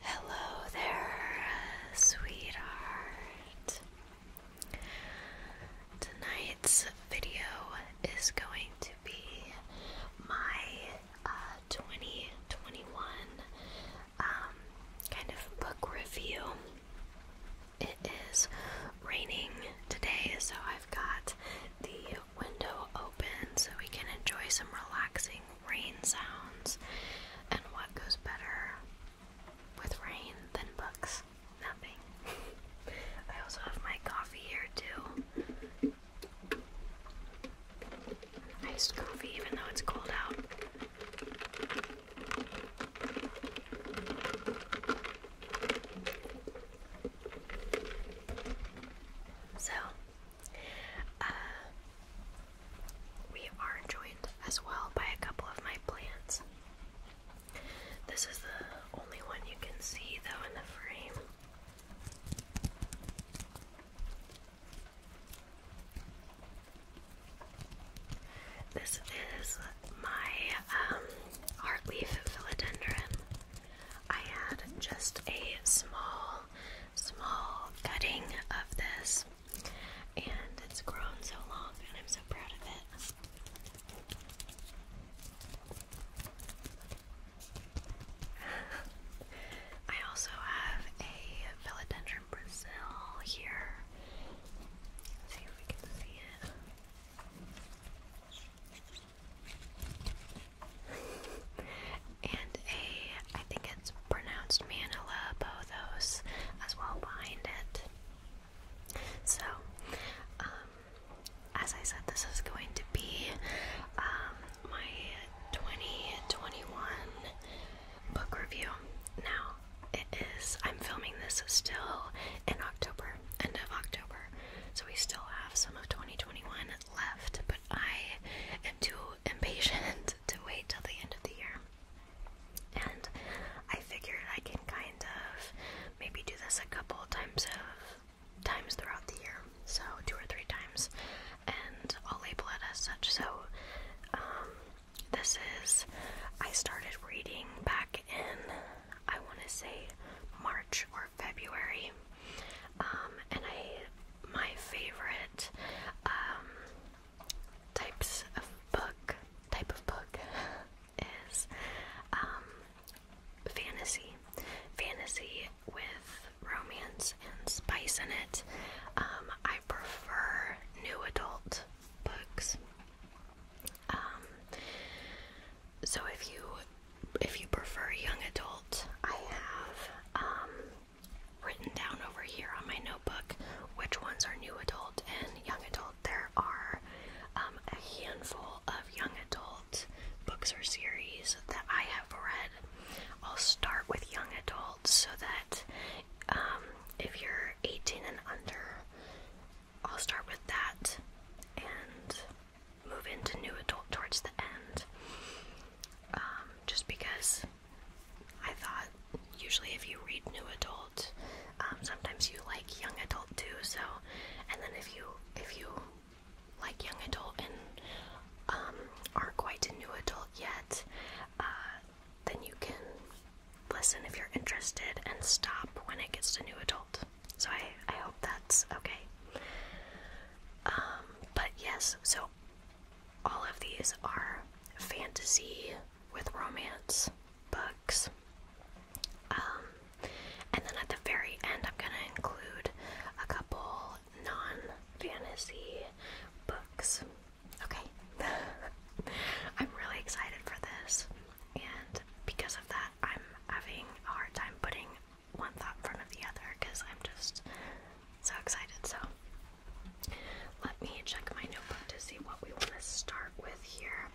Hello there, sweetheart. Tonight's video is going to be my uh, 2021 um, kind of book review. It is raining today, so I've got the window open so we can enjoy some relaxing rain sounds, and what goes better with rain than books? Nothing. I also have my coffee here too. Iced coffee, even though it's cold out. So, uh, we are joined as well by a couple of my plants. This is the only one you can see, though, in the frame. This is my um, heartleaf philodendron. I had just a small small cutting of this, and it's grown so long, and I'm so proud of it. I also have a philodendron Brazil here. see if we can see it and a, I think it's pronounced Manila Bothos as well behind it. So, um, as I said, this is going to be um, my 2021 book review. Now, it is, I'm filming this still in October, end of October, so we still have some of 2021 left, but I I'm too impatient to wait till the end of the year. And I figured I can kind of maybe do this a couple times of times throughout the year. So two or three times. And I'll label it as such. So um, this is I started reading back in I wanna say March or February um, and I, my favorite um, types of book, type of book, is um, fantasy, fantasy with romance and spice in it. I prefer new adult books. so if you if you prefer young adult, I have written down over here on my notebook which ones are new adult and young adult. There are um, a handful of young adult books or series that I have read. I'll start with young adults so that um, if you're 18 and under, I'll start with that and move into new adult towards the end. Um, just because I thought usually if you read new adult, um, sometimes you like young adult too. So, and then if you if you like young adult and um, aren't quite a new adult yet, uh, then you can listen if you're interested and stop when it gets to new adult. So I I hope that's okay. Um, but yes, so all of these are fantasy with romance books. Um, and then at the very end, I'm going to include a couple non fantasy books. Okay. I'm really excited for this, and because of that, I'm having a hard time putting one thought in front of the other because I'm just so excited. So let me check my notebook to see what we want to start with here.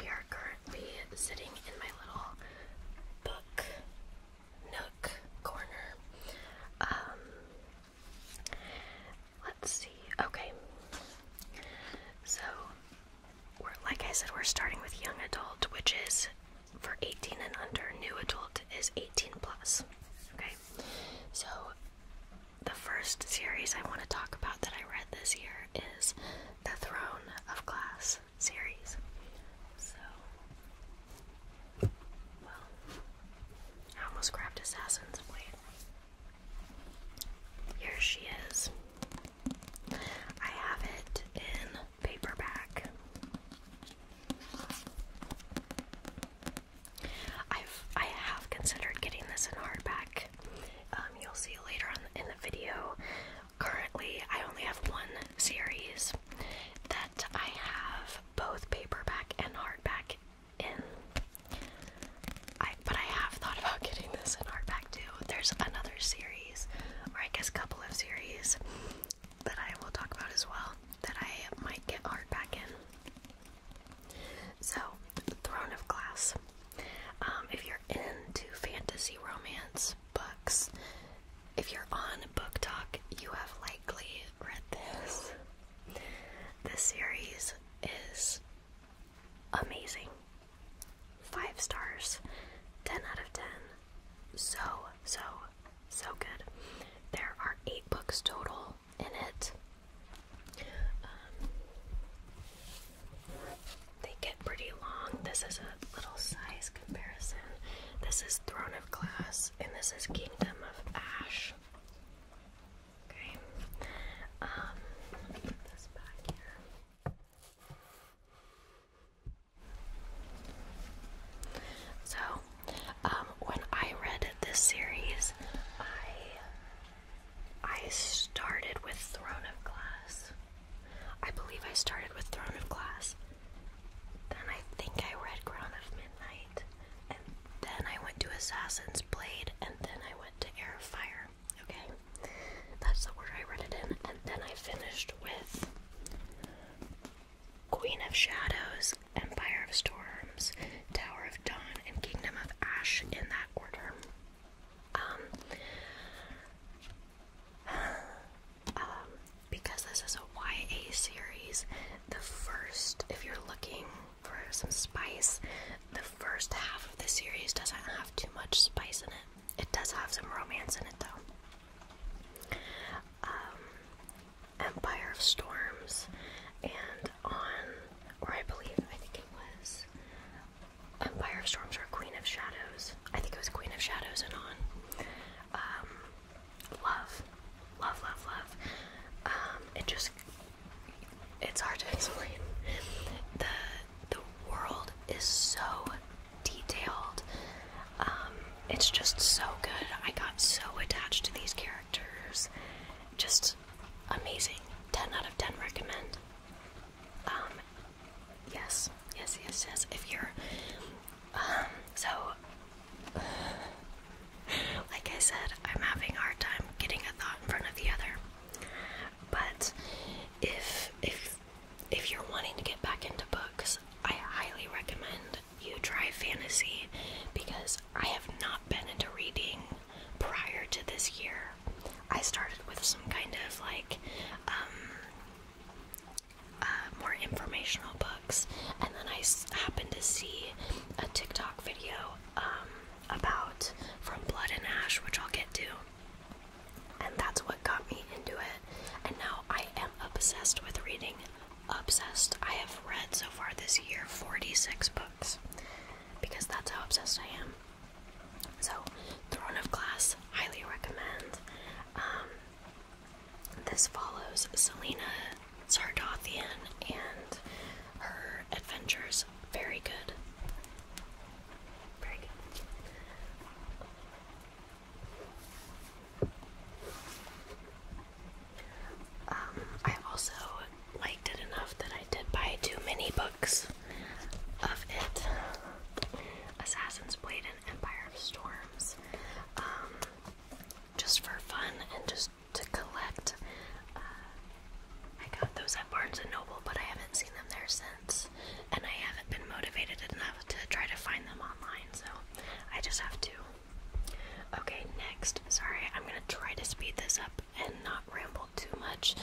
We are currently sitting in my little book nook corner. Um, let's see. Okay. So, we're, like I said, we're starting with young adult, which is for 18 and under, new adult is 18 plus. Okay, so the first series I want to talk about that I read this year is the Throne of Glass series. So, I almost grabbed Assassin's Blade. Here she is. I have it in paperback. I've I have considered getting this in hardback. Um, you'll see later on in the video. Currently, I only have one series that I have both paperback and hardback in. I but I have thought about getting this in hardback too. There's another series, or I guess a couple of series that I will talk about as well that I might get art back in. So, Throne of Glass. Um, if you're into fantasy romance books, if you're on Book Talk, you have likely read this. This series is amazing. Five stars, 10 out of 10. So, so so good. There are eight books total in it. Um, they get pretty long. This is a little size comparison. This is Throne of Glass, and this is Kingdom of Ash. Okay. Um, so, um, when I read this series, I I started with Throne of Glass. I believe I started with Throne of Glass. Then I think I read Crown of Midnight, and then I went to Assassin's Blade, and then I went to Air of Fire. Okay, that's the order I read it in, and then I finished with Queen of Shadows, Empire of Storms, Tower of Dawn, and Kingdom of Ash in that order. Um, um, because this is a YA series, the first, if you're looking for some spice, the first half of the series doesn't have too much spice in it. It does have some romance in it though. Um, Empire of Storms, and on, or I believe, I think it was Empire of Storms or Queen of Shadows. I think it was Queen of Shadows and on. Um, love, love, love, love. Um, it just, it's hard to explain. The, the world is so detailed um, it's just so good. I got so attached to these characters. Just amazing. 10 out of 10 recommend. Um, yes, yes, yes, yes. If you're, um, so, like I said, I'm having a hard time getting a thought in front of the other. But if, if, if you're wanting to get back into books, I highly recommend you try fantasy because I have not been into reading prior to this year. I started with some kind of like um, uh, more informational books, and then I happened to see a TikTok video um, about From Blood and Ash, which I'll get to. And that's what got me into it. And now I am obsessed with reading obsessed. I have read so far this year 46 books because that's how obsessed I am. So, Throne of Glass, highly recommend. Um, this follows Selina Sardothian and her adventures. Very good. Very good. Um, I also liked it enough that I did buy two mini books of it Assassin's Blade and Empire of Storms. Um, just for fun and just to collect. Uh, I got those at Barnes and Noble, but I haven't seen them there since, and I haven't been motivated enough to try to find them online, so I just have to Okay, next. Sorry, I'm gonna try to speed this up and not ramble too much.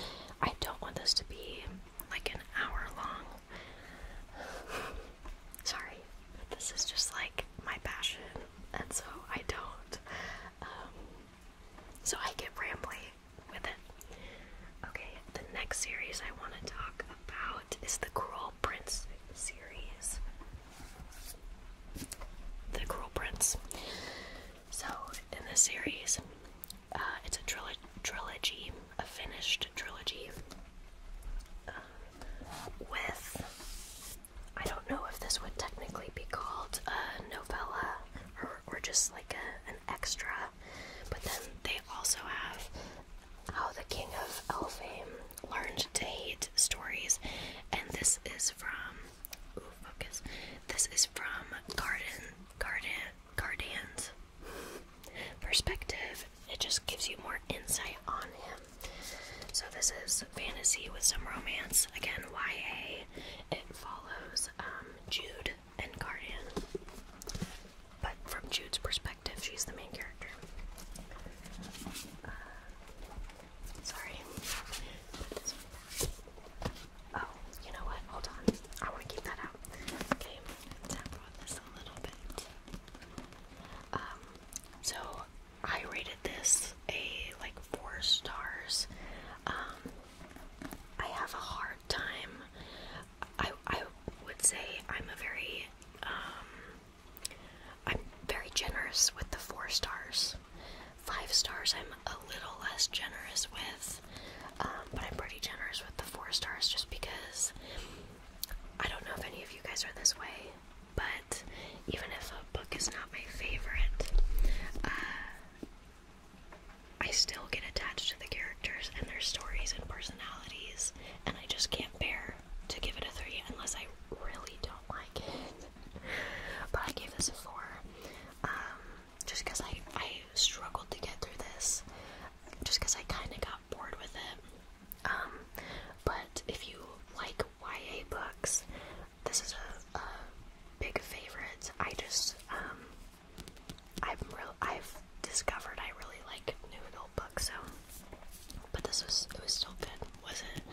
I don't want this to be like an hour long. Sorry, but this is just like my passion, and so I don't. Um, so I get rambly with it. Okay, the next series I want to talk about is the Crawl Prince series. The Crawl Prince. So, in this series, uh, it's a trilogy, a finished trilogy, uh, with I don't know if this would technically be called a novella or, just like an extra, but then they also have how the King of Elfame Learned to Hate Stories, and this is from. focus. This is from Garden, Garden, Gardan's perspective. It just gives you more insight on him. So this is fantasy with some romance. Again, YA. It follows um, Jude and Guardian but from Jude's perspective, she's the main character. Uh, sorry. Oh, you know what? Hold on. I want to keep that out. Okay, tap on this a little bit. Um, so I rated this a like four stars. Um, I have a hard time. I I would say I'm a very um I'm very generous with the four stars. Five stars, I'm a little less generous with, um, but I'm pretty generous with the four stars just because I don't know if any of you guys are this way, but even if a book is not my favorite, uh, I still get attached to the characters and their stories and personalities, and I just can't bear to give it a 3 unless I really don't like it. but I gave this a 4. Um, just because I, I struggled to get through this. Just because I kind of got bored with it. Um, but if you like YA books, this is a, big favorite. I just, um, I've, real, I've discovered I really like noodle books, so but this was was still good, was it?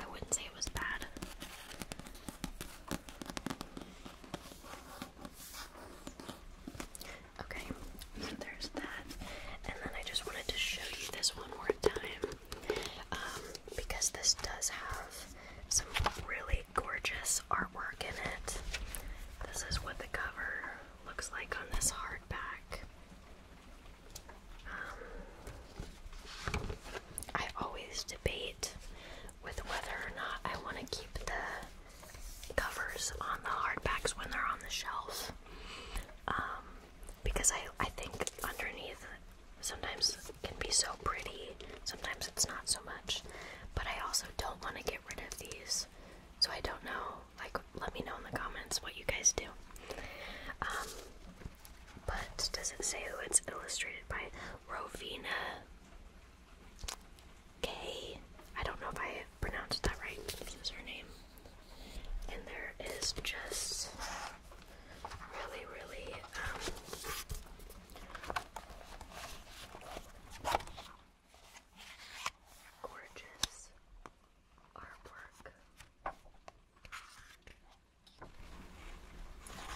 I wouldn't say it was bad. Okay, so there's that. And then I just wanted to show you this one more time. Um, because this does have some really gorgeous artwork in it. This is what the cover looks like on this hardback. I always debate with whether or not I want to keep the covers on the hardbacks when they're on the shelf. Um, because I, I think underneath sometimes it can be so pretty, sometimes it's not so much. But I also don't want to get rid of these, so I don't know like, let me know in the comments what you guys do. Um, but does it say who it's illustrated by? Rovina K. I don't know if I pronounced that right. is her name. And there is just really, really, um, gorgeous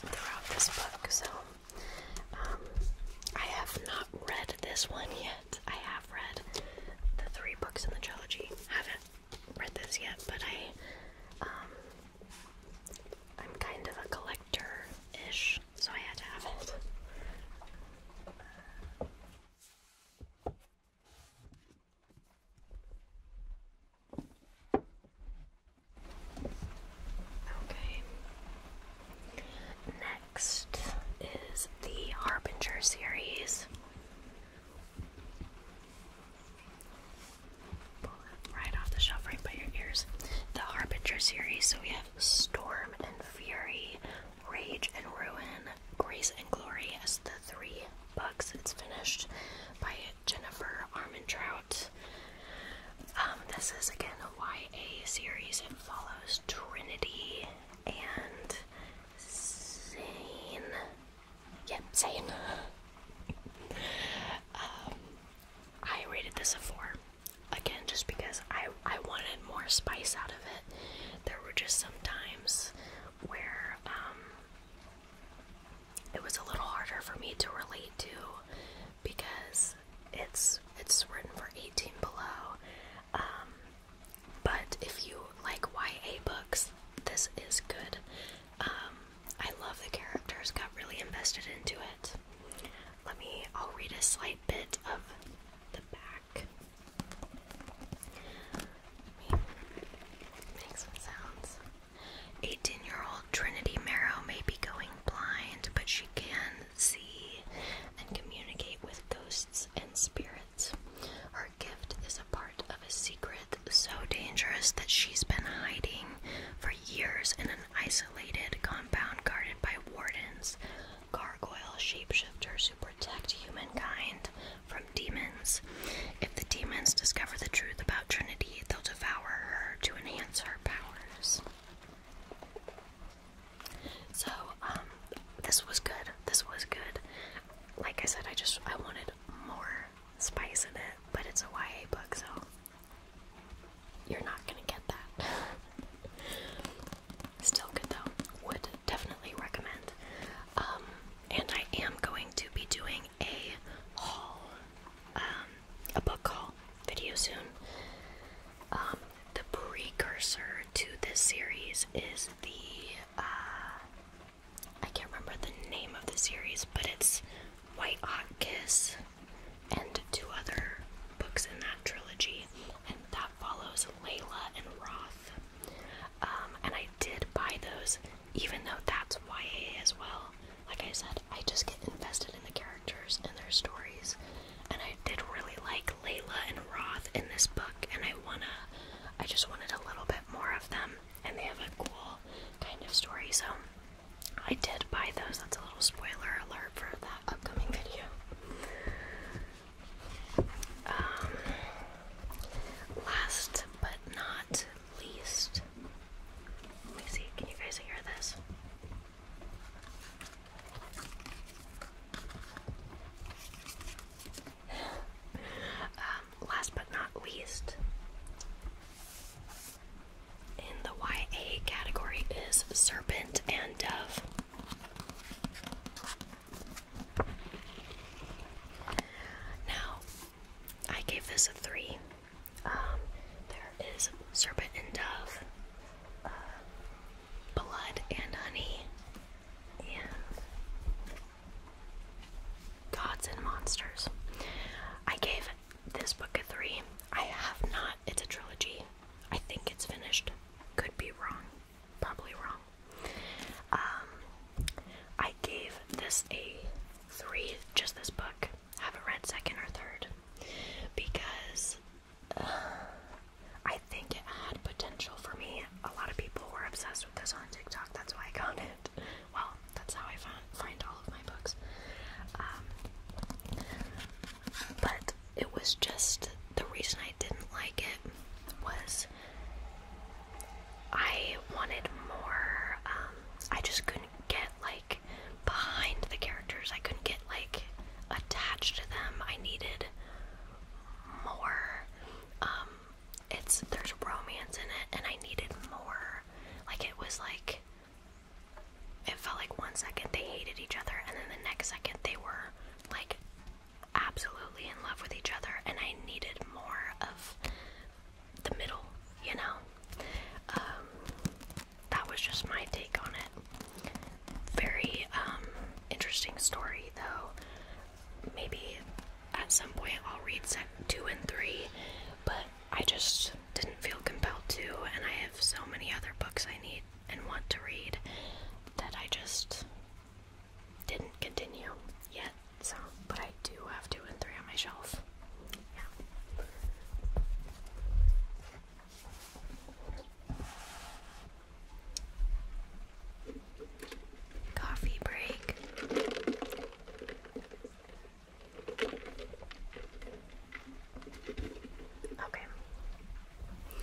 throughout this book. So um, I have not read this one yet. I have read the three books in the trilogy. Haven't read this yet, but I um, I'm kind of a collector-ish, so I had to have it. Okay. Next is the Harbinger series. right off the shelf, right by your ears. The Harbinger series. So we have Storm and Fury, Rage and Ruin, Grace and Glory as the three books. It's finished by Jennifer Armentrout. Um, this is again a YA series. It follows Trinity and Zane. Yep, Zane. um, I rated this a four. Again, just because I I wanted more spice out of it there were just some times where um, it was a little harder for me to relate to because it's it's written for 18 below. Um, but if you like YA books, this is good. Um, I love the characters, got really invested into it. Let me, I'll read a slight bit of the back. 18 year old Trinity Mero may be going blind, but she can see and communicate with ghosts and spirits. Her gift is a part of a secret so dangerous that she's been hiding for years in an isolated compound guarded by wardens gargoyle shapeshifters who protect humankind from demons. If the demons discover the truth about Trinity, they'll devour her to enhance her powers. So, um, this was good. This was good. Like I said, I just I wanted more spice in it, but it's a YA book, so you're not gonna get that. Still good though. Would definitely recommend. Um, and I am going to be doing a haul, um, a book haul video soon. Um, the precursor to this series is the, uh, I can't remember the name of the series, but it's White Hot Kiss and two other books in that trilogy, and that follows Layla and Roth. Um, and I did buy those, even though that's YA as well. Like I said, I just get invested in the characters and their stories. And I did really like Layla and Roth in this book, and I wanna, I just wanted a little bit more of them. And they have a cool kind of story, so I did buy those. That's a little spoiler alert for that upcoming video. Um, last but not least, let me see, can you guys hear this? Um, last but not least, in the YA category is Serpent and Dove. Now, I gave this a three. Um, there is serpent and dove, uh, blood and honey, and gods and monsters. I gave this book a three. I have not. It's a trilogy. I think it's finished. Could be wrong probably wrong. Um, I gave this a three, just this book. Haven't read second or third because uh, I think it had potential for me. A lot of people were obsessed with this on TikTok. That's why I found it. Well, that's how I found, find all of my books. Um, but it was just the reason I didn't like it was I wanted more. Um, I just couldn't get like behind the characters. I couldn't get like attached to them. I needed more. Um, it's there's romance in it, and I needed more. Like it was like it felt like one second they hated each other, and then the next second they were like absolutely in love with each other, and I needed more of the middle, you know? Um, that was just my take on it. Very um, interesting story, though. Maybe at some point I'll read set two and three, but I just didn't feel compelled to, and I have so many other books I need and want to read that I just didn't continue yet, so but I do have two and three on my shelf. Yeah. Coffee break. Okay.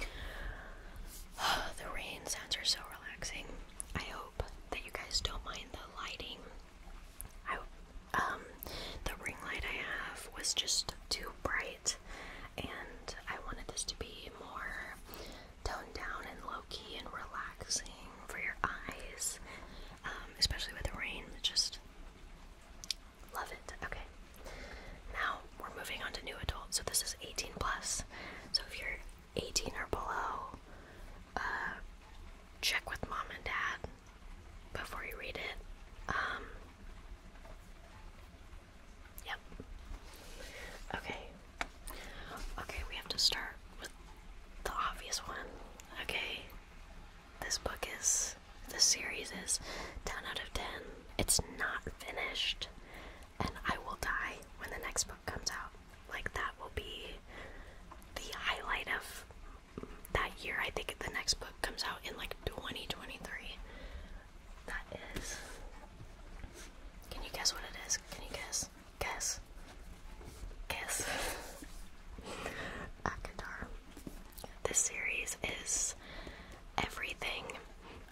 the rain sounds are so relaxing. I hope that you guys don't mind the lighting. I um the ring light I have was just too bright and I wanted this to be more toned down and low key and relaxing for your eyes. Um, especially with the rain. Just love it. Okay. Now we're moving on to new adults, so this is 18 plus. So if you're 18 or below, uh, check with mom and dad before you read it. Um, yep. Okay. Okay, we have to start with the obvious one. Okay. This book is. This series is 10 out of 10. It's not finished, and I will die when the next book comes out. Like that will be the highlight of that year. I think the next book comes out in like 2023. That is. Can you guess what it is? Can you guess? Guess. Guess. Akatar. This series is everything.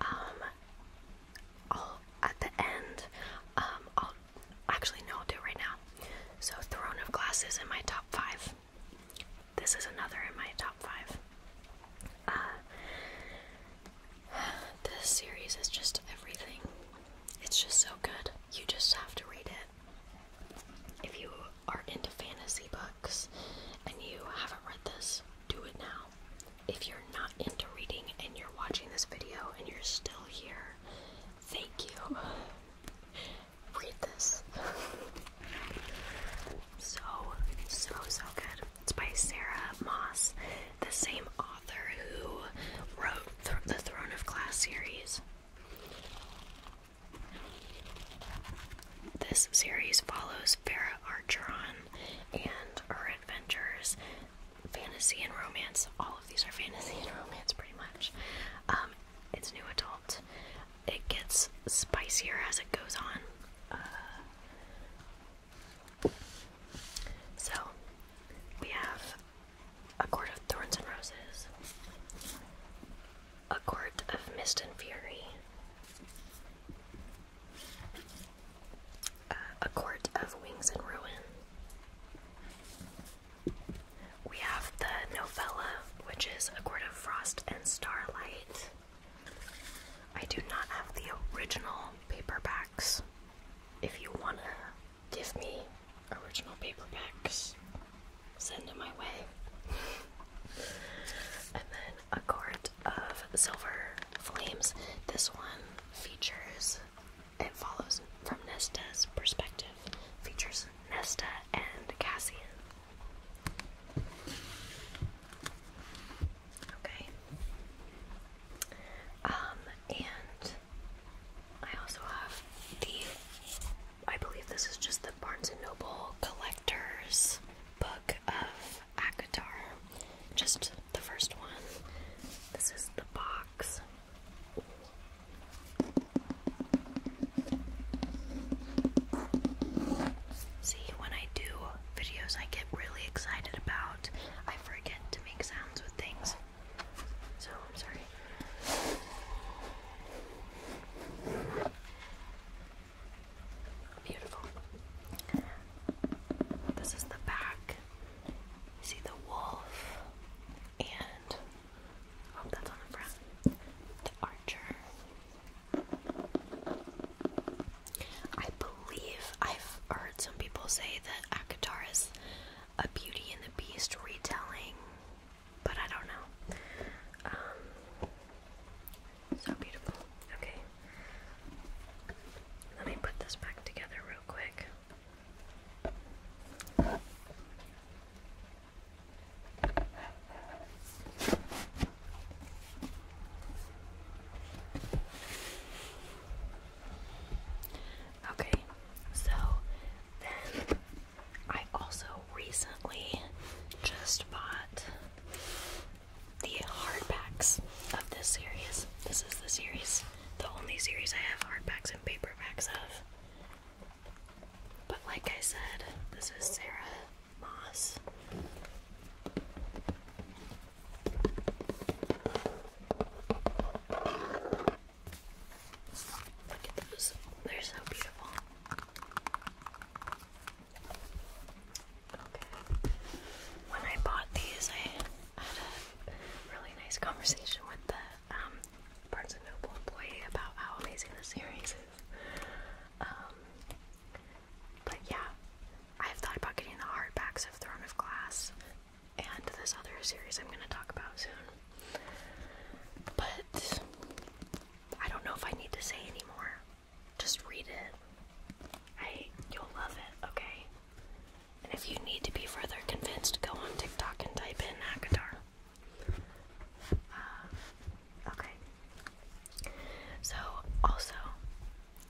Um, i at the end. Um, I'll actually no, I'll do right now. So Throne of Glass is in my top five. This is another in my top five. Uh, this series is just everything. It's just so good. You just have to read it. If you are into fantasy books and you haven't read this, do it now. If you're not into reading and you're watching this video and you're still here, thank you. Read this. so, so, so good. It's by Sarah Moss, the same author who wrote the Throne of Glass series. This series follows Farah Archeron and her adventures, fantasy and romance. All of these are fantasy and romance, pretty much. Um, it's new adult. It gets spicier as it goes on. Uh, so we have a court of thorns and roses, a court of mist and fury, uh, a Court of Wings and Ruin. We have the novella, which is A Court of Frost and Starlight. I do not have the original paperbacks. If you want to give me original paperbacks, send them my way. and then a quart of silver flames. This one features, it follows from Nesta's perspective, features Nesta and Cassian. Okay. Um, and I also have the, I believe this is just the Barnes & Noble collector's book of Akatar. Just the first one. This is the box. See, when I do videos I get really excited about, I forget to make sounds with things. So, I'm sorry. Beautiful. This is the back. see the wolf and oh that's on the front. The archer. I believe I've heard some people say that Akatar is a Beauty and the Beast retelling, but I don't know. Um, so beautiful. Okay. Let me put this back together real quick. Okay, so then I also recently just bought the hardbacks of this series. This is the series, the only series I have hardbacks and paperbacks of. But like I said, this is Sarah Moss. Look at those. They're so beautiful. When I bought these, I had a really nice conversation with the um, Barnes & Noble employee about how amazing the series is. Um, but yeah, I've thought about getting the hardbacks of Throne of Glass and this other series I'm going to talk about soon. But I don't know if I need to say anymore. Just read it. I you'll love it, okay? And if you need to be further convinced, go on TikTok and type in Akatar. Uh, okay. So also,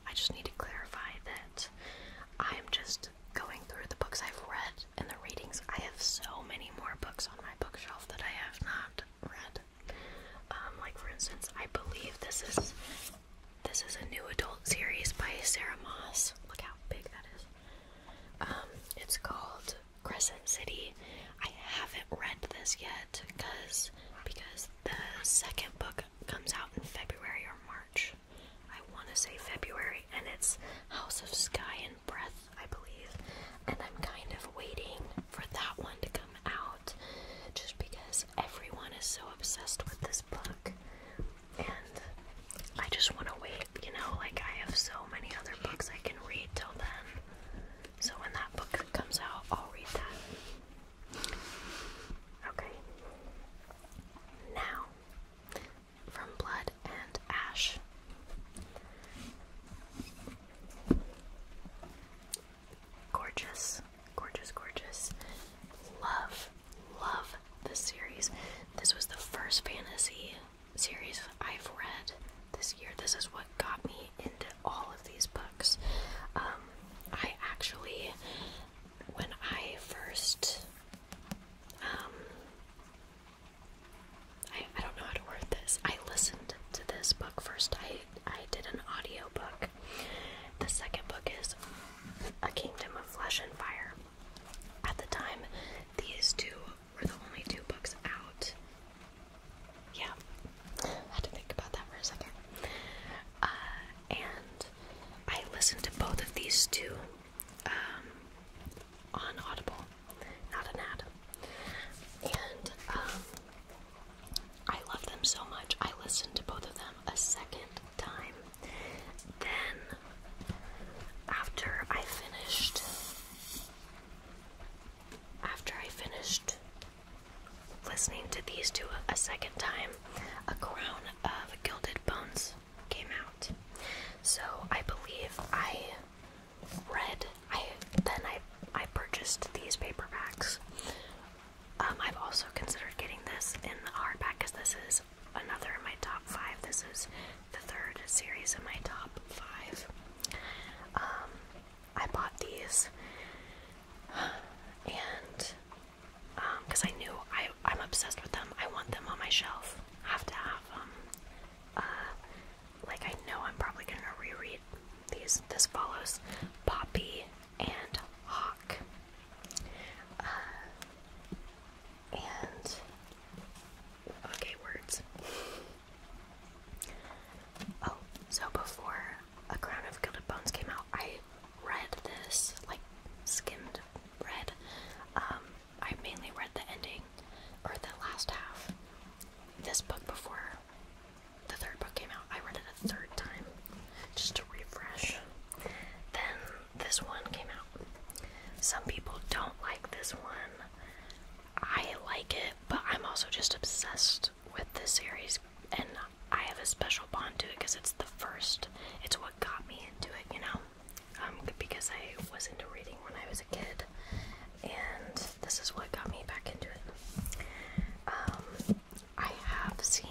I just need to clarify that I am just going through the books I've read and the readings. I have so many more books on my bookshelf that I have not read. Um, like for instance, I believe this is this is a new adult series by Sarah Moss. Look how big that is. Um, it's called Crescent City. I haven't read this yet because because the second book comes out in February or March. I want to say February, and it's House of Sky and Breath, I believe. And I'm kind of waiting for that one to come out just because everyone is so obsessed with this book. And I just want to wait, you know, like I have so many other books I can read till then. So when that book comes out, I'll read that. Okay. Now, from Blood and Ash. Gorgeous, gorgeous, gorgeous. Love, love this series. This was the first fantasy series I've read this year. This is what got me into all of these books. Um, I actually, when I first, um, I, I don't know how to word this. I listened to this book first. I I did an audio book. The second book is A Kingdom of Flesh and Fire. At the time, these two were the only two books out. Yeah, I had to think about that for a second. Uh, and I listened to both of these two um, on Audible, not an ad. And um, I love them so much. I listened to both of them a second time. Then, after I finished, after I finished listening to these two a second time, a crown of gilded bones came out. So I believe I read. I then I I purchased these paperbacks um, I've also considered getting this in the hardback because this is another of my top five. This is the third series in my top five. Um, I bought these, and because um, I knew I, am obsessed with them, I want them on my shelf. Have to have them. Uh, like I know I'm probably gonna reread these. This follows Poppy and hawk. Uh, and okay, words. Oh, so before A Crown of Gilded Bones came out, I read this, like skimmed read. Um, I mainly read the ending or the last half. This book before the third book came out, I read it a third time just to refresh. Then this one came out. Some people don't like this one. I like it, but I'm also just obsessed with this series, and I have a special bond to it because it's the first. It's what got me into it, you know? Um, because I was into reading when I was a kid, and this is what got me back into it. Um, I have seen,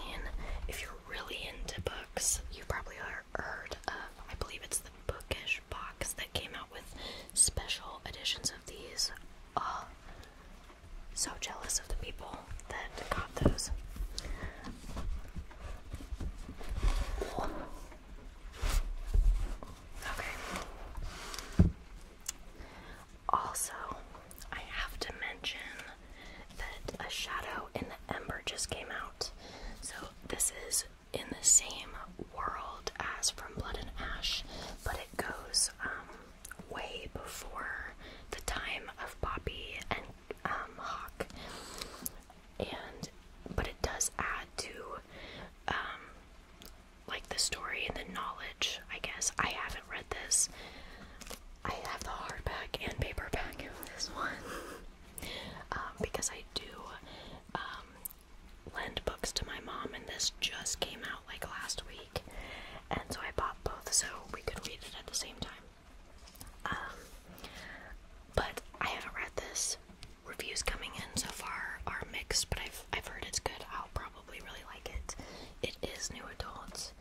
if you're really into books, you probably heard of, I believe it's the bookish box that came out with special editions of these. Uh, so jealous of the people that got those. Okay. Also, I have to mention that a Shadow in the Ember just came out. So, this is in the same world as From Blood and Ash, but it goes um, way before the time of Poppy and um, Hawk. And but it does add to um, like the story and the knowledge I guess. I haven't read this. I have the hardback and paperback of this one um, because I do um, lend books to my mom, and this just came out like last week, and so I bought both so we could read it at the same time. Um, but I haven't read this. Reviews coming in so far are mixed, but I've I've heard it's good. I'll probably really like it. It is new adults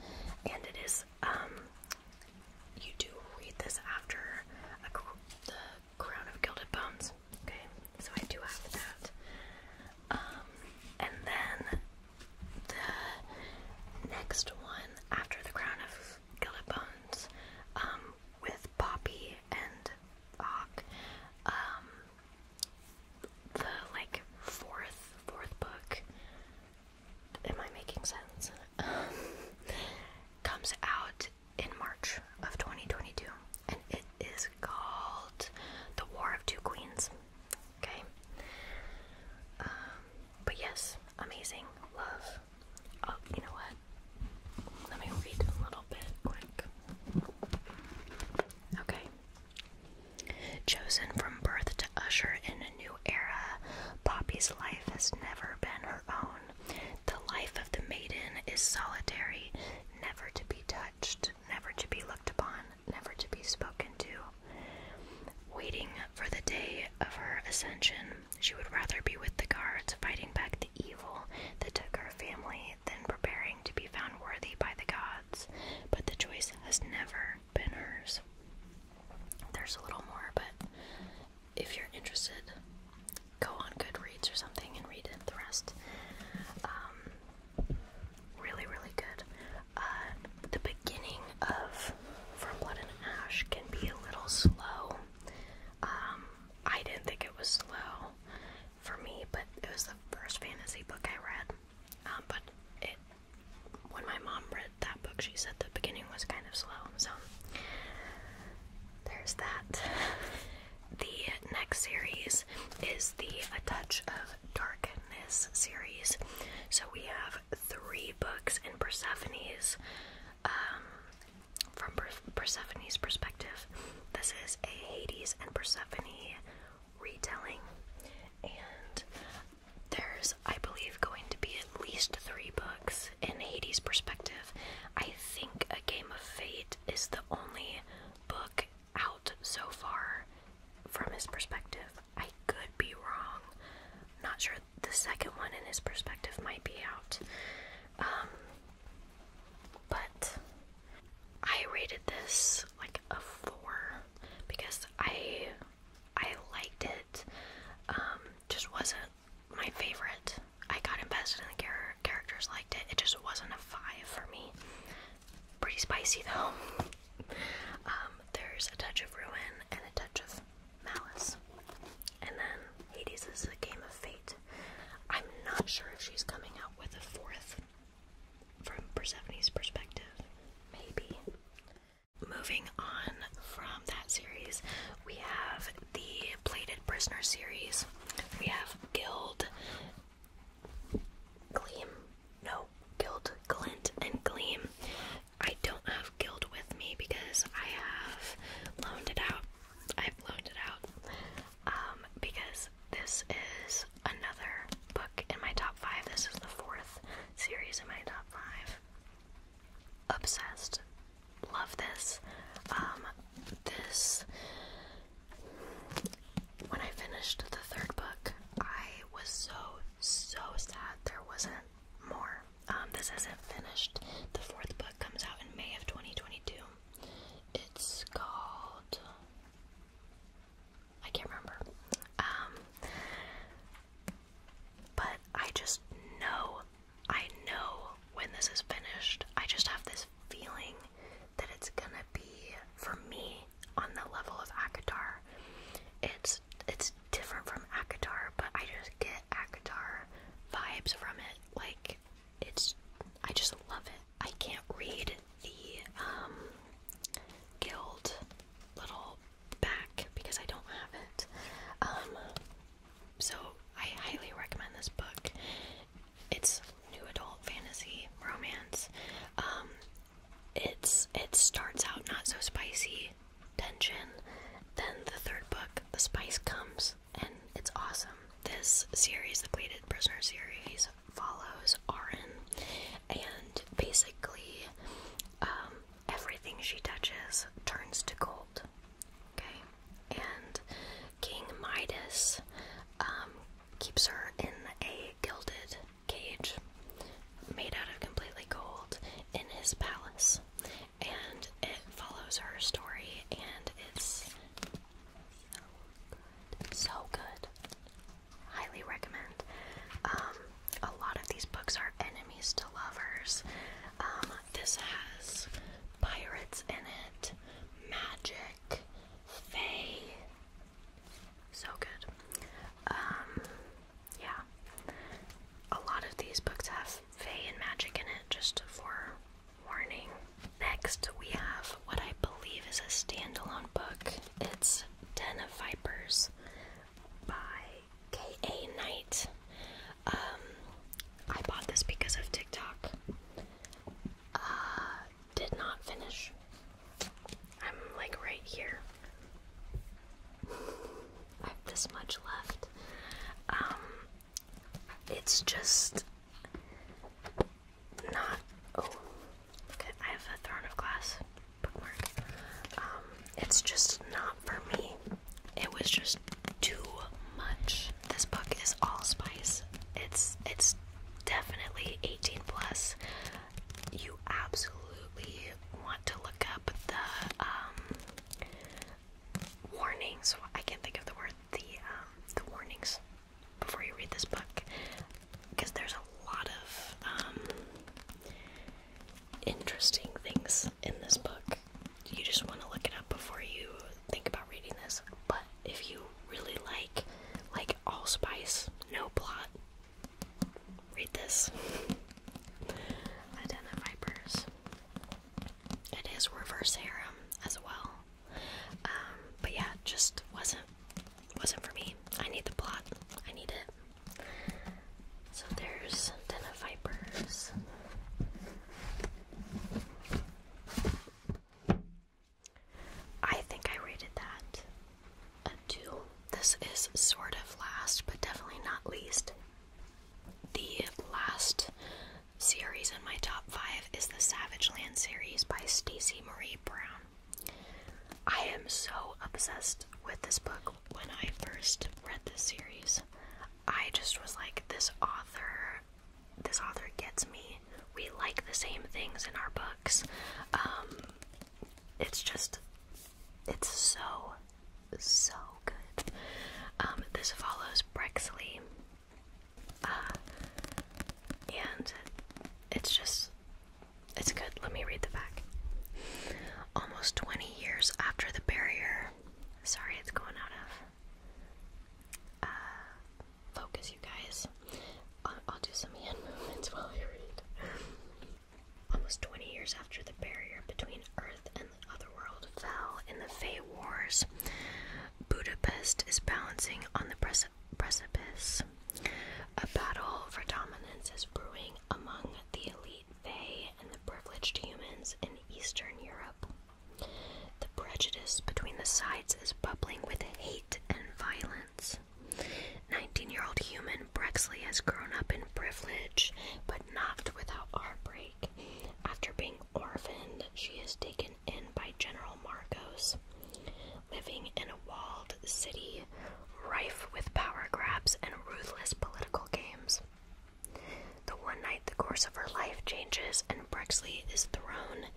and it is um, you do read this after the crown of gilded bones. Okay, so I do have that. Um, and then the next one after the crown of gilded bones, um, with Poppy and Ock, the like fourth fourth book. Am I making sense? Um, comes out in March of 2022, and it is called The War of Two Queens. Okay. Um, but yes, amazing love. Oh, you know what? Let me read a little bit quick. Okay. Chosen from birth to usher in a new era, Poppy's life has never been her own. The life of the maiden is solitary, never to be touched, never to be looked upon, never to be spoken to. Waiting for the day of her ascension, she would rather be with the guards fighting back the evil that took her family than preparing to be found worthy by the gods. But the choice has never banners. There's a little more, but if you're interested, go on Goodreads or something and read the rest. Um, really, really good. Uh, the beginning of From Blood and Ash can be a little slow. Um, I didn't think it was slow for me, but it was the first fantasy book I read. Um, but it when my mom read that book, she said the beginning was kind of slow. So there's that. The next series is the A Touch of Darkness series. So we have three books in Persephone's um, from Persephone's perspective. This is a Hades and Persephone retelling, and there's, I believe, going to be at least three books in Hades' perspective. I think A Game of Fate is the only book out so far from his perspective. I could be wrong. not sure the second one in his perspective might be out. Um, but I rated this like a four because I I liked it. Um, just wasn't my favorite. I got invested in the char characters, liked it. It just wasn't a five for me. Pretty spicy though. Um, there's a touch of ruin and a touch of malice. And then Hades is a game of fate. I'm not sure if she's coming out with a fourth from Persephone's perspective, maybe. Moving on from that series, we have the Plated Prisoner series. We have Guild, Gleam, no, Guild, Glint, and Gleam. I don't have Guild with me because I have loaned it out. I've loaned it out um, because this is another book in my top five. This is the fourth series in my top five. Obsessed. Love this. Um, this. When I finished the third book, I was so, so sad there wasn't more. Um, this isn't finished. The fourth book comes out in May of 2022. It's called I can't remember. Um, but I just know, I know when this is finished. I just have this feeling that it's gonna be for me on the level of Akatar. It's it's different from Akatar, but I just get Akatar vibes from it. Like it's, I just love it. I can't read the um, guild little back because I don't have it. Um, so I highly recommend this book. It's new adult fantasy romance. Um, it's it starts out not so spicy tension. Then the third book, the spice comes, and it's awesome. This series, the Pleated Prisoner series, follows Arin, and basically um, everything she touches turns to gold. Okay, and King Midas um, keeps her in a gilded cage made out of completely gold in his palace, and it follows her story, and it's so good, so good, highly recommend. Um, a lot of these books are enemies to lovers. Um, this has pirates in it, magic, fay. So good. Um, yeah. A lot of these books have fae and magic in it, just for warning. Next, we have what I believe is a standalone book. It's Ten of Vipers by K.A. Knight. Um, I bought this because of TikTok. Uh, did not finish. I'm like right here. I have this much left. Um, it's just not. Oh, Okay, I have a Throne of Glass bookmark. Um, it's just not for me. It was just too much. This book is allspice. It's it's definitely 18 plus. You absolutely want to look up the um, warnings. I can't think of the word. The um, the warnings before you read this book because there's a lot of um, interesting things in this book. You just want to look it up before you think about reading this. But if you really like like allspice, no plot, read this. Identifipers. It is reverse harem as well. Um, but yeah, just wasn't wasn't for me. I need the plot. I need it. So there's Den Vipers. I think I rated that a 2. This is sort of last, but definitely not least. The last series in my top 5 is the Savage Land series by Stacy Marie Brown. I am so obsessed with this book. When I first read this series, I just was like, this author, this author gets me. We like the same things in our books. Um, it's just, it's so, so good. Um, this follows Brexley. Uh, and it's just it's good. Let me read the back. Almost 20 years after the barrier. Sorry, it's going out of uh, focus, you guys. I'll, I'll do some hand movements while I read. Almost 20 years after the barrier between Earth and the other world fell in the Fey Wars, Budapest is balancing on the precipice a battle for dominance is brewing among the elite Fey and the privileged humans in Eastern Europe. The prejudice between the sides is bubbling with hate and violence. 19 year old human Brexley has grown up in privilege, but not without heartbreak. After being orphaned, she is taken in by General Marcos. Living in a walled city rife with power grabs and ruthless political games. The one night the course of her life changes and Brexley is thrown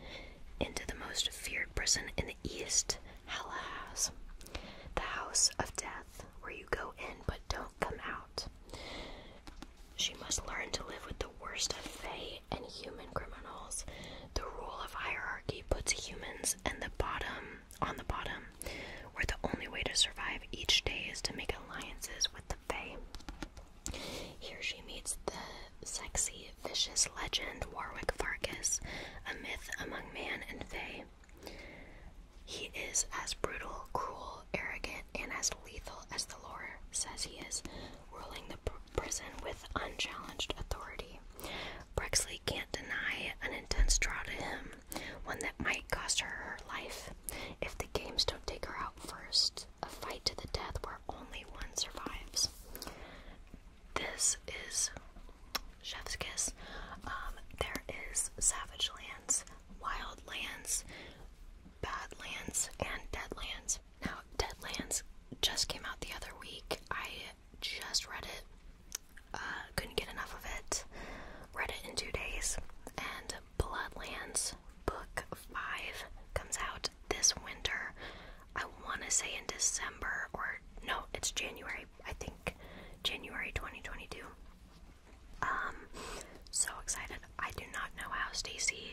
into the most feared prison in the East, Hellhouse, the house of death, where you go in but don't come out. She must learn to live with the worst of Fae and human criminals, the rule of hierarchy he puts humans and the bottom on the bottom, where the only way to survive each day is to make alliances with the Fae. Here she meets the sexy, vicious legend Warwick Farkas, a myth among man and Fae. He is as brutal, cruel, arrogant, and as lethal as the lore says he is, ruling the prison with unchallenged authority. Brexley can't deny an intense draw to him, one that might cost her her life if the games don't take her out first. A fight to the death where only one survives. This is Chef's Kiss. Um, there is Savage Lands, Wild Lands, Bad Lands, and Dead Lands. Now, Dead Lands just came out the other week. I just read it. Uh, couldn't get enough of it. Read it in two days. And Bloodlands Book 5 comes out this winter. I want to say in December or no, it's January. I think January 2022. Um, so excited. I do not know how Stacy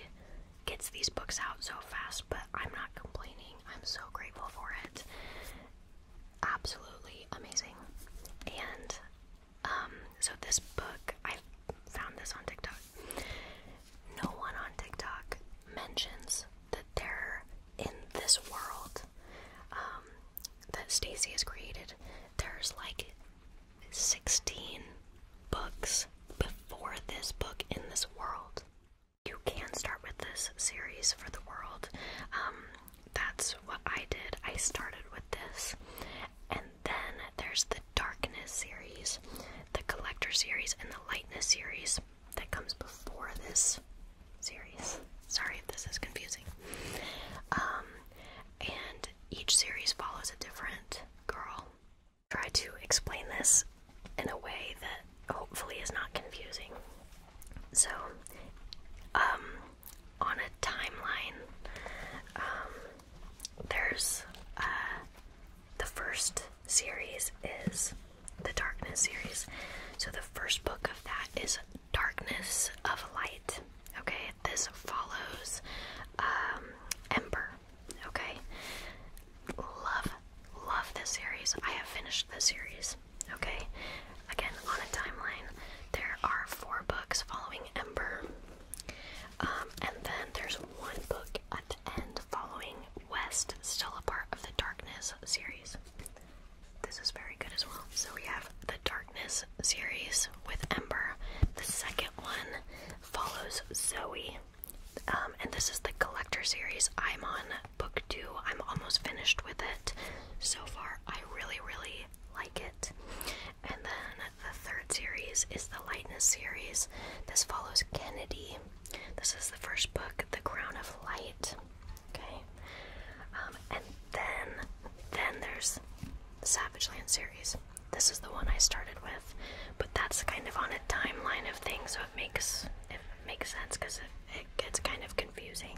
gets these books out so fast, but I'm not complaining. I'm so grateful for it absolutely amazing. And um, so this book, I found this on TikTok. No one on TikTok mentions that they're in this world um, that Stacy has created. There's like 16 books before this book in this world you can start with this series for the world. Um, that's what I did. I started with this. And then there's the Darkness series, the Collector series, and the Lightness series that comes before this series. Sorry if this is confusing. Um, and each series follows a different girl. Try to explain this in a way that hopefully is not confusing. So, um, on a timeline, um, there's uh, the first series is the Darkness series. So, the first book of that is Darkness of Light. Okay, this follows um, Ember. Okay, love, love this series. I have finished the series. Okay? Again, on a timeline, there are four books following Ember. Um, and then there's one book at the end following West, still a part of the Darkness series. This is very good as well. So we have the Darkness series with Ember. The second one follows Zoe. Um, and this is the collector series. I'm on book two. I'm almost finished with it so far. I really, really like it. And then the third series is the Lightness series. This follows Kennedy. This is the first book, The Crown of Light. Okay. Um, and then, then there's the Savage Land series. This is the one I started with, but that's kind of on a timeline of things, so it makes it makes sense because it, gets kind of confusing.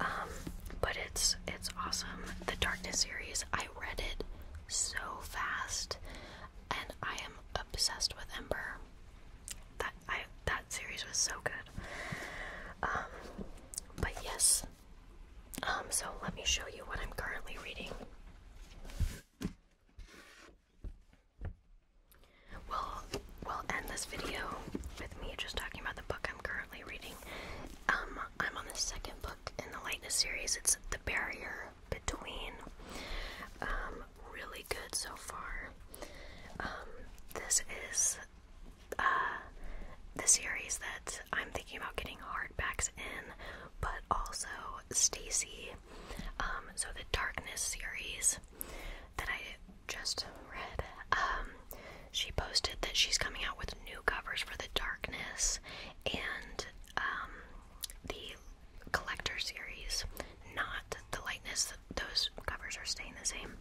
Um, but it's it's awesome. The Darkness series, I read it so fast, and I am obsessed with Ember. That I that series was so good. Um, but yes. Um, so let me show you what I'm currently reading we we'll end this video with me just talking about the book I'm currently reading. Um, I'm on the second book in the Lightness series. It's The Barrier Between. Um, really good so far. Um, this is uh, the series that I'm thinking about getting hardbacks in, but also Stacy um, so the Darkness series that I just read, um, she posted that she's coming out with new covers for the Darkness and um, the Collector series, not the Lightness. Those covers are staying the same.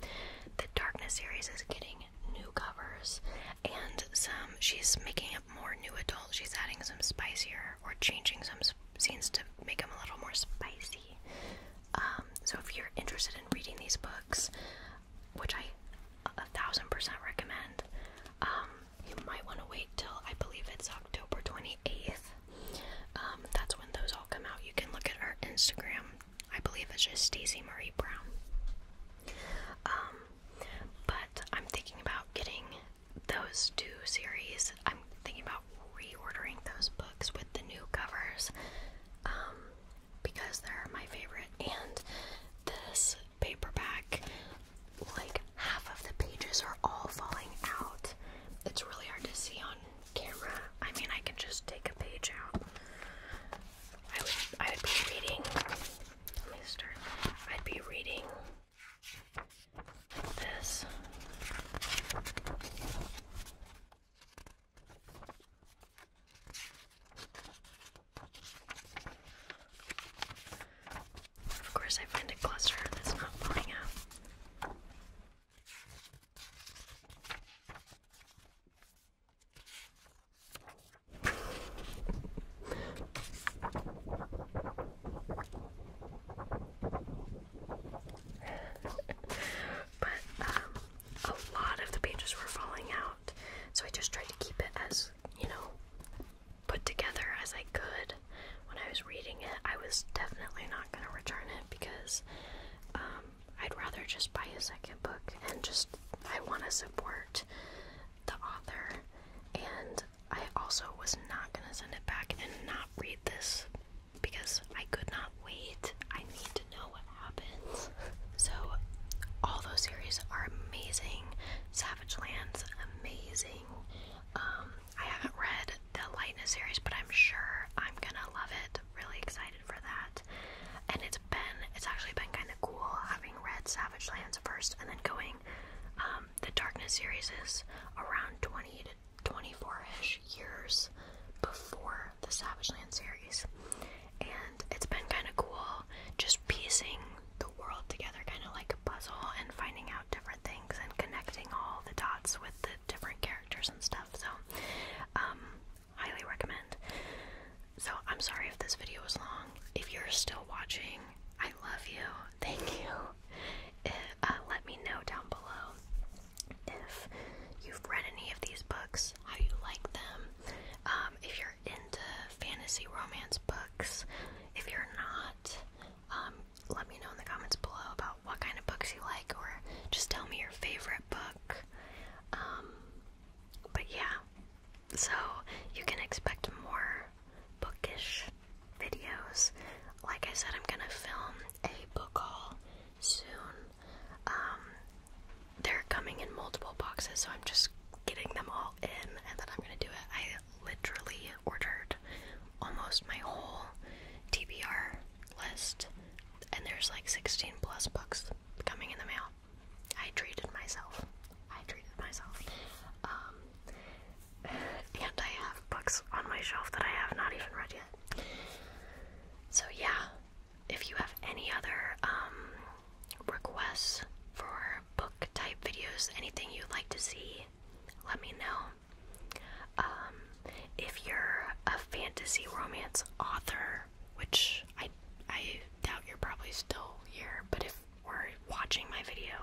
The Darkness series is getting new covers and some she's making up more new adult she's adding some spicier or changing some scenes to make them a little more spicy um, so if you're interested in reading these books, which I a thousand percent recommend, um, you might want to wait till I believe it's October 28th. Um, that's when those all come out. You can look at our Instagram. I believe it's just Stacey Marie Brown. but I'm thinking about getting those two series. I'm thinking about reordering those books with the new covers um, because they're my favorite. And this paperback, like half of the pages are all falling out. It's really hard to see on camera. I mean, I can just take a page out. I would, I would be reading. Let me start. I'd be reading this. Of course, I find a cluster that's not falling out. but um, a lot of the pages were falling out, so I just tried to keep it as you know put together as I could. When I was reading it, I was definitely not going to return it because um, I'd rather just buy a second book and just I want to support the author. And I also was not going to send it back and not read this because I could not wait. I need to know what happens. So, all those series are amazing. Savage Lands, amazing. Um, I haven't read the Lightness series, but I'm sure I'm gonna love it. Really excited for that. And it's been, it's actually been kind of cool having read Savage Lands first and then going. Um, the Darkness series is around 20 24-ish years before the Savage Land series. And it's been kind of cool just piecing the world together kind of like a puzzle and finding out different things and connecting all the dots with the different characters and stuff. So, um, highly recommend. So, I'm sorry if this video was long. If you're still watching, I love you. Thank you. Uh, let me know down below if you've read any of these books, how you like them, um, if you're into fantasy romance books. If you're not, um, let me know in the comments below about what kind of books you like, or just tell me your favorite book. Um, but yeah, so you can expect more bookish videos. Like I said, I'm gonna film a book haul soon. Um, they're coming in multiple boxes, so I'm just getting them all in, and then I'm gonna do it. I literally ordered almost my whole TBR list, and there's like 16 plus books coming in the mail. I treated myself. I treated myself. Um, and I have books on my shelf that I have not even read yet. So, yeah, if you have any other um, requests for book type videos, anything you'd like to see, let me know. Um, if you're a fantasy romance author, which I, I doubt you're probably still here, but if we're watching my video,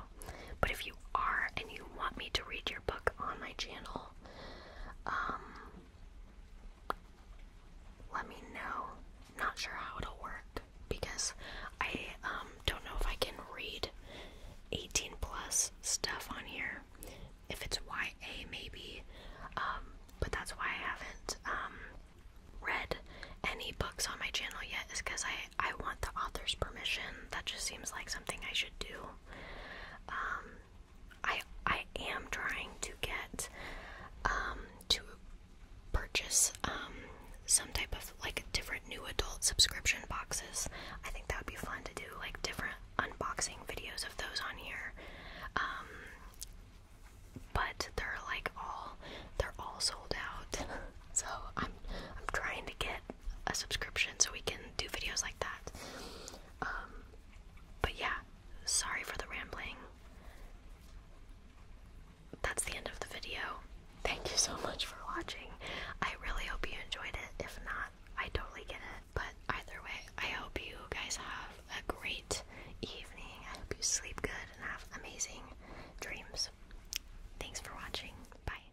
but if you are and you want me to read your book on my channel, um, let me know. Not sure how it'll work because I um, don't know if I can read 18 plus stuff on here. If it's YA, maybe. Um, but that's why I haven't read any books on my channel yet, is because I, I want the author's permission. That just seems like something I should do. Um, I I am trying to get um, to purchase um, some type of like different new adult subscription boxes. I think that would be fun to do like different unboxing videos of those on here. but they're like all they're all sold out. So I'm I'm trying to get a subscription so we can do videos like that. Um, but yeah, sorry for the rambling. That's the end of the video. Thank you so much for watching. I really hope you enjoyed it. If not, I totally get it. But either way, I hope you guys have a great evening. I hope you sleep good and have amazing dreams. Thanks for watching. Bye.